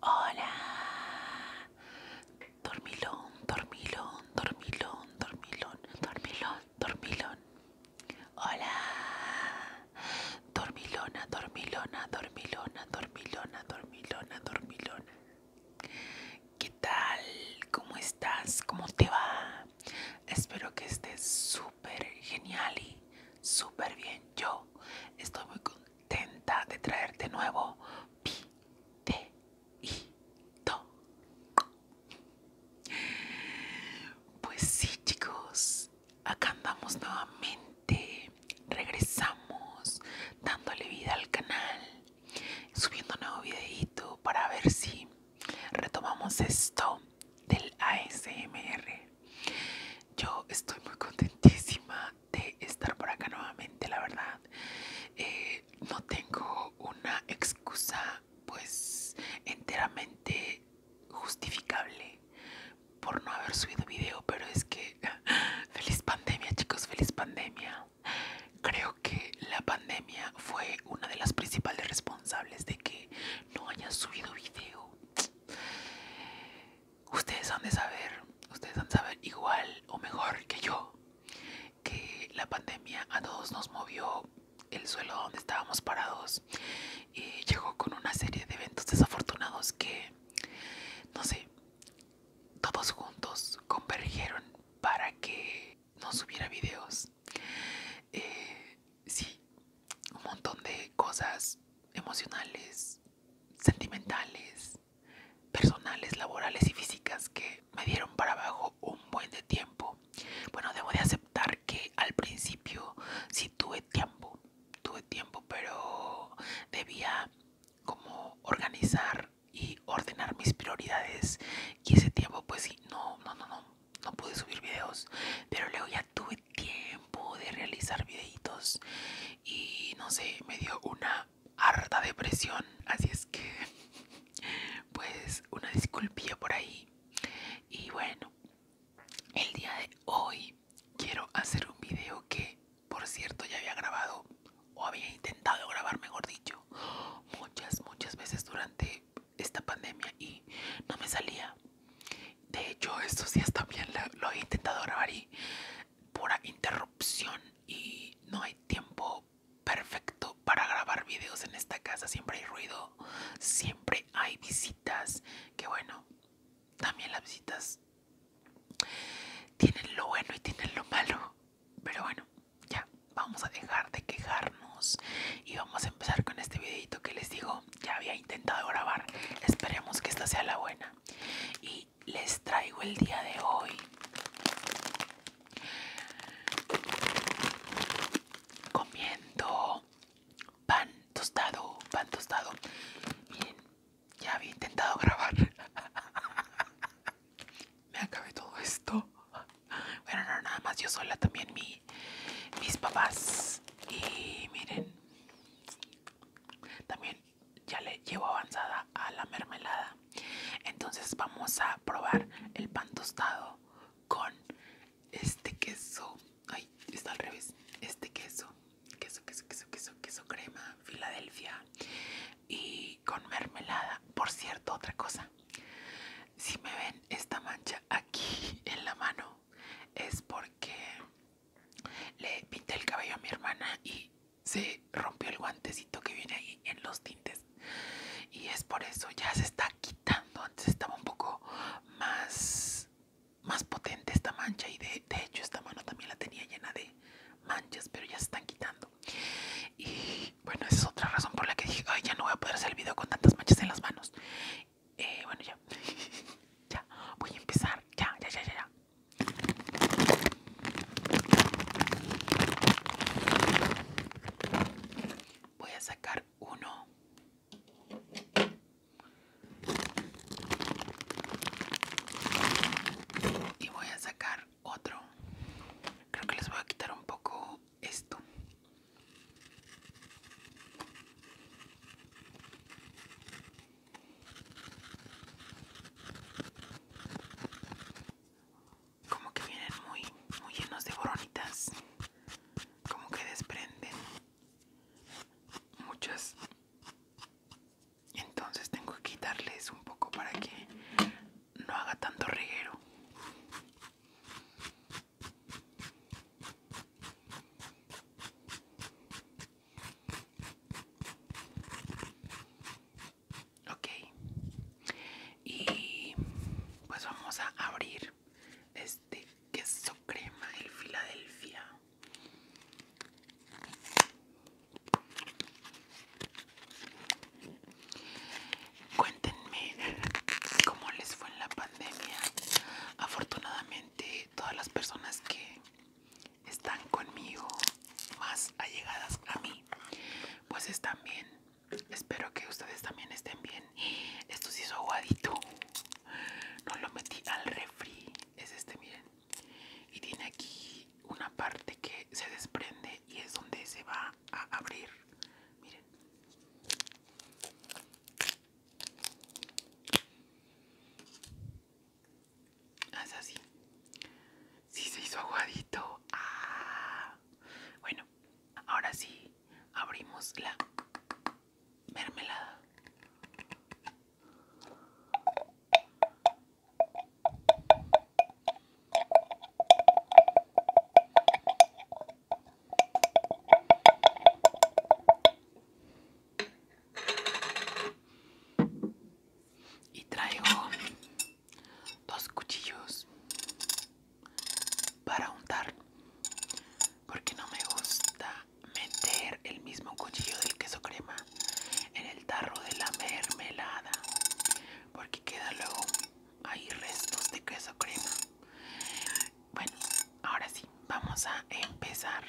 Hola. Dormilón, dormilón, dormilón, dormilón, dormilón, dormilón. Hola. Dormilona, dormilona, dormilona, dormilona, dormilona, dormilona. ¿Qué tal? ¿Cómo estás? ¿Cómo te va? Espero que estés súper genial y súper bien. Yo estoy muy contenta Tenta de traerte nuevo videíto. Pues sí, chicos, acá andamos nuevamente, regresamos dándole vida al canal, subiendo nuevo videito para ver si retomamos esto del ASMR. Yo estoy muy contentísima de estar por acá nuevamente, la verdad. Eh, no tengo una excusa pues enteramente justificable por no haber subido video, pero es que feliz pandemia chicos, feliz pandemia. Creo que la pandemia fue una de las principales responsables de que no haya subido video ustedes han de saber, ustedes han de saber igual o mejor que yo, que la pandemia a todos nos movió el suelo donde estábamos parados y llegó con una serie de eventos desafortunados que, no sé, todos juntos convergieron para que no subiera videos. Eh, sí, un montón de cosas emocionales, sentimentales, personales, laborales y físicas que me dieron para abajo un buen de tiempo. Bueno, debo de aceptar que al principio si tuve tiempo, tuve tiempo, pero debía como organizar y ordenar mis prioridades y ese tiempo pues no, no, no, no, no pude subir videos, pero luego ya tuve tiempo de realizar videitos y no sé, me dio una harta depresión. Así es que, pues, una disculpía por ahí. Y bueno, el día de hoy quiero hacer un video que, por cierto, ya había grabado o había intentado grabar, mejor dicho, muchas, muchas veces durante esta pandemia y no me salía. De hecho, estos días también lo he intentado grabar y pura interrupción y no hay tiempo perfecto para grabar videos en esta casa. Siempre hay ruido, siempre hay visitas, que bueno, también las visitas tienen lo bueno y tienen lo malo. Pero bueno, ya, vamos a dejar de quejarnos y vamos a empezar con este videito que les digo ya había intentado grabar. Esperemos que esta sea la buena. Y les traigo el día de hoy comiendo pan tostado, pan tostado. Miren, ya había intentado grabar. Me acabé todo esto. Bueno, no, nada más yo sola, también mi, mis papás. Y miren, también ya le llevo avanzada a la mermelada. Entonces vamos a probar el pan tostado con este queso. Ay, está al revés. Este queso. Queso, queso, queso, queso, queso crema. Filadelfia. Y con mermelada. Por cierto, otra cosa. Si me ven esta mancha aquí en la mano es porque le pinté el cabello a mi hermana y se rompió el guantecito que viene ahí en los tintes y es por eso ya se está quitando antes estaba un poco más más potente esta mancha y de, de hecho esta mano también la tenía llena de manchas pero ya se están quitando y bueno esa es otra razón por la que dije Ay, ya no voy a poder hacer el video con tantas manchas en las manos eh, bueno, ya. ya, voy a empezar. Ya, ya, ya, ya. ya. Voy a sacar uno. Y voy a sacar otro. Creo que les voy a quitar un poco esto. Como que vienen muy, muy llenos de boronitas. Como que desprenden muchas. Entonces tengo que quitarles un poco para que no haga tanto reguero. Ok, y pues vamos a abrir este queso crema, el Filadelfia. Cuéntenme cómo les fue en la pandemia. Afortunadamente todas las personas que están conmigo más allegadas a mí pues están bien espero que ustedes también estén bien esto se hizo aguadito no lo metí al refri es este miren y tiene aquí una parte que se desprende y es donde se va a abrir miren Haz así. Sí se hizo aguadito. Ah. Bueno, ahora sí abrimos la mermelada. Y traigo dos cuchillos para untar, porque no me gusta meter el mismo cuchillo del queso crema en el tarro de la mermelada, porque queda luego ahí restos de queso crema bueno, ahora sí, vamos a empezar.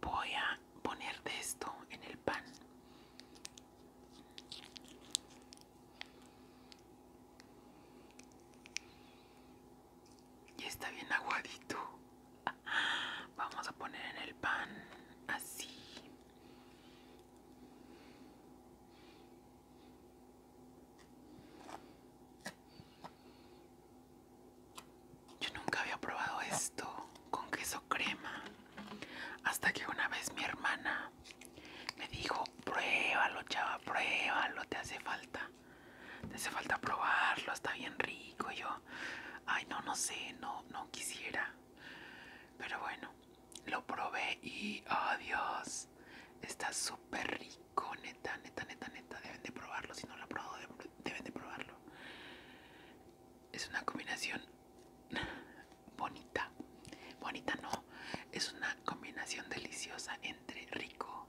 Voy a poner de esto en el pan. Y está bien aguadito. Vamos a poner en el pan así. Yo nunca había probado esto con queso crema hasta que una vez mi hermana me dijo, pruébalo chava, pruébalo, te hace falta. Te hace falta probarlo, está bien rico. yo, ay no, no sé, no, no quisiera. Pero bueno lo probé y oh Dios, está súper rico, neta, neta, neta, neta, deben de probarlo, si no lo han probado deben de probarlo. Es una combinación bonita, bonita no, es una combinación deliciosa entre rico,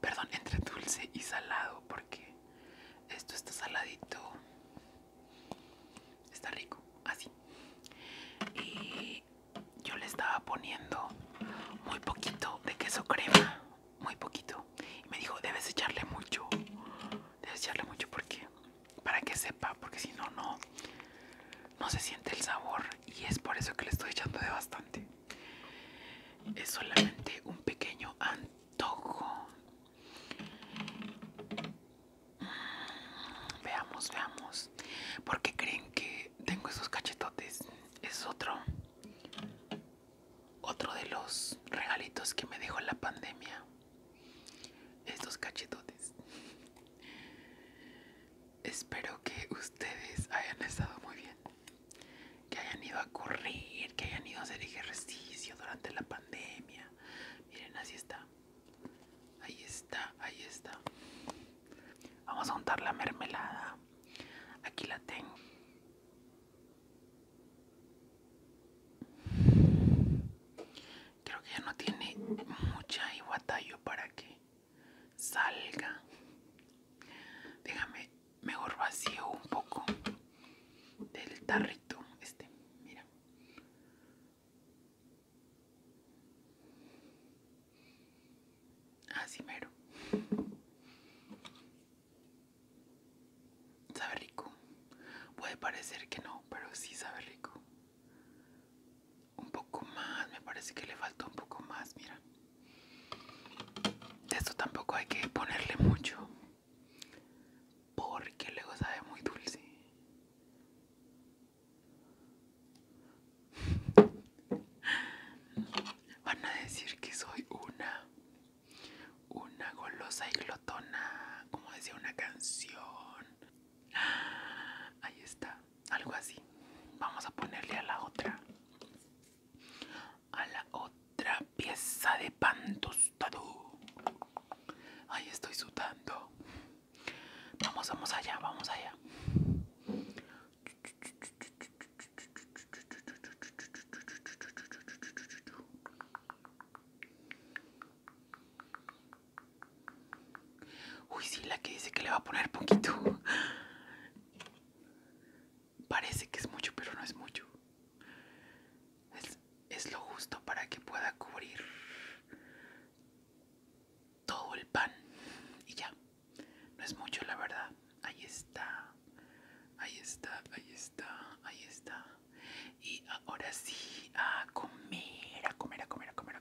perdón, entre dulce y salado, porque esto está saladito, está rico, así. Y yo le estaba poniendo muy poquito de queso crema, muy poquito. Y me dijo, debes echarle mucho, debes echarle mucho porque para que sepa, porque si no, no, no se siente el sabor. Y es por eso que le estoy echando de bastante. Es solamente un pequeño antojo. Mm, veamos, veamos. Porque creen que tengo esos cachetotes es otro otro de los regalitos que me dejó la pandemia estos cachetotes espero que ustedes hayan estado muy bien que hayan ido a correr que hayan ido a hacer ejercicio durante la pandemia miren así está Ahí está, ahí está. Vamos a untar la mermelada. Aquí la tengo. Creo que ya no tiene mucha iguatayo para que salga. Déjame, mejor vacío un poco del tarrito. Este, mira. Así mero. Sabe rico. Puede parecer que no, pero sí sabe rico. Un poco más, me parece que le falta un poco más, mira. De esto tampoco hay que ponerle mucho. Porque luego sabe muy dulce. Van a decir que soy una, una golosa y glotona, como decía una canción. Ahí está, algo así. Vamos a ponerle a la otra, a la otra pieza de pan tostado. Ahí estoy sudando. Vamos, vamos allá, vamos allá. Uy, sí, la que dice que le va a poner poquito. Parece que es mucho, pero no es mucho. Es, lo justo para que pueda cubrir todo el pan y ya no es mucho la verdad ahí está ahí está ahí está ahí está y ahora sí a comer a comer a comer a comer a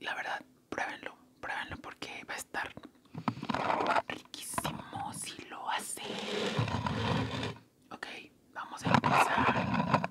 la verdad pruébenlo pruébenlo porque va a estar riquísimo si lo hace ok vamos a empezar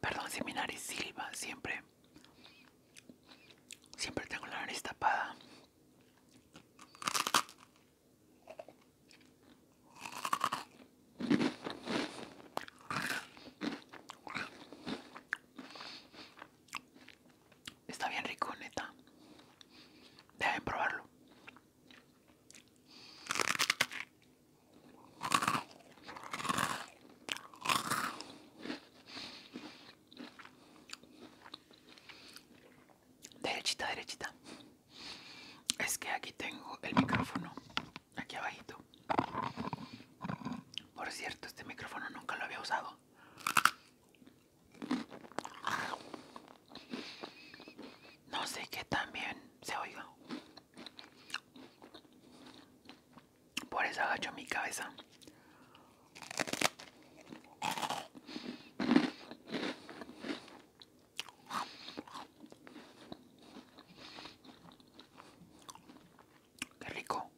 Perdón si mi nariz silba siempre. Siempre tengo la nariz tapada. Está bien rico, neta. Deben probarlo derechita, derechita. Es que aquí tengo el micrófono, aquí abajito. Por cierto, este micrófono nunca lo había usado. No sé qué también se oiga. Por eso agacho mi cabeza. Qué rico.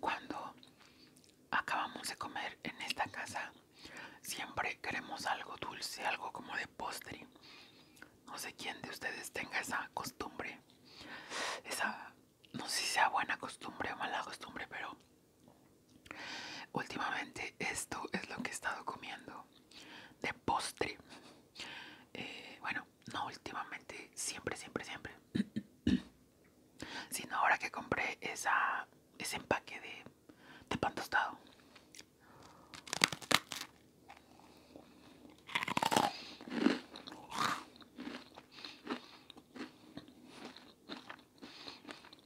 Cuando acabamos de comer en esta casa, siempre queremos algo dulce, algo como de postre. No sé quién de ustedes tenga esa costumbre. Esa, no sé si sea buena costumbre o mala costumbre, pero Últimamente esto es lo que he estado comiendo de postre. Eh, bueno, no últimamente, siempre, siempre, siempre. Sino ahora que compré esa, ese empaque de, de pan tostado.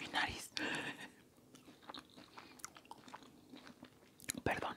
Mi nariz. Perdón.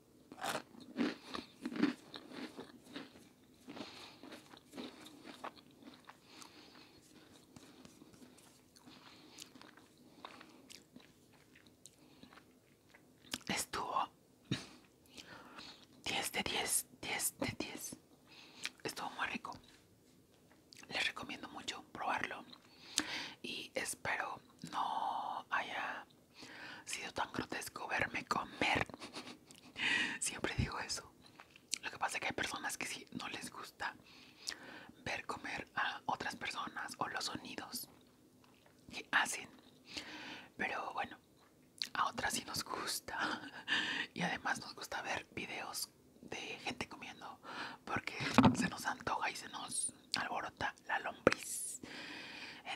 Estuvo 10 de 10, 10 de 10. Estuvo muy rico. Les recomiendo mucho probarlo y espero no haya ha sido tan grotesco verme comer. Siempre digo eso. Lo que pasa es que hay personas que sí no les gusta ver comer a otras personas o los sonidos que hacen. Pero bueno, a otras sí nos gusta. Y además nos gusta ver videos de gente comiendo porque se nos antoja y se nos alborota la lombriz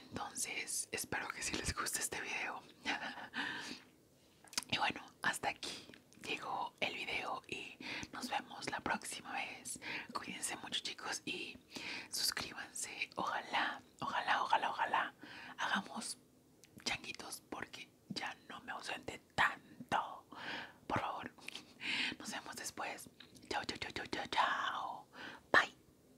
entonces espero que si les guste este video y bueno hasta aquí llegó el video y nos vemos la próxima vez cuídense mucho chicos y suscríbanse ojalá ojalá ojalá ojalá hagamos changuitos porque ya no me ausente tanto por favor nos vemos después chao chao chao chao chao bye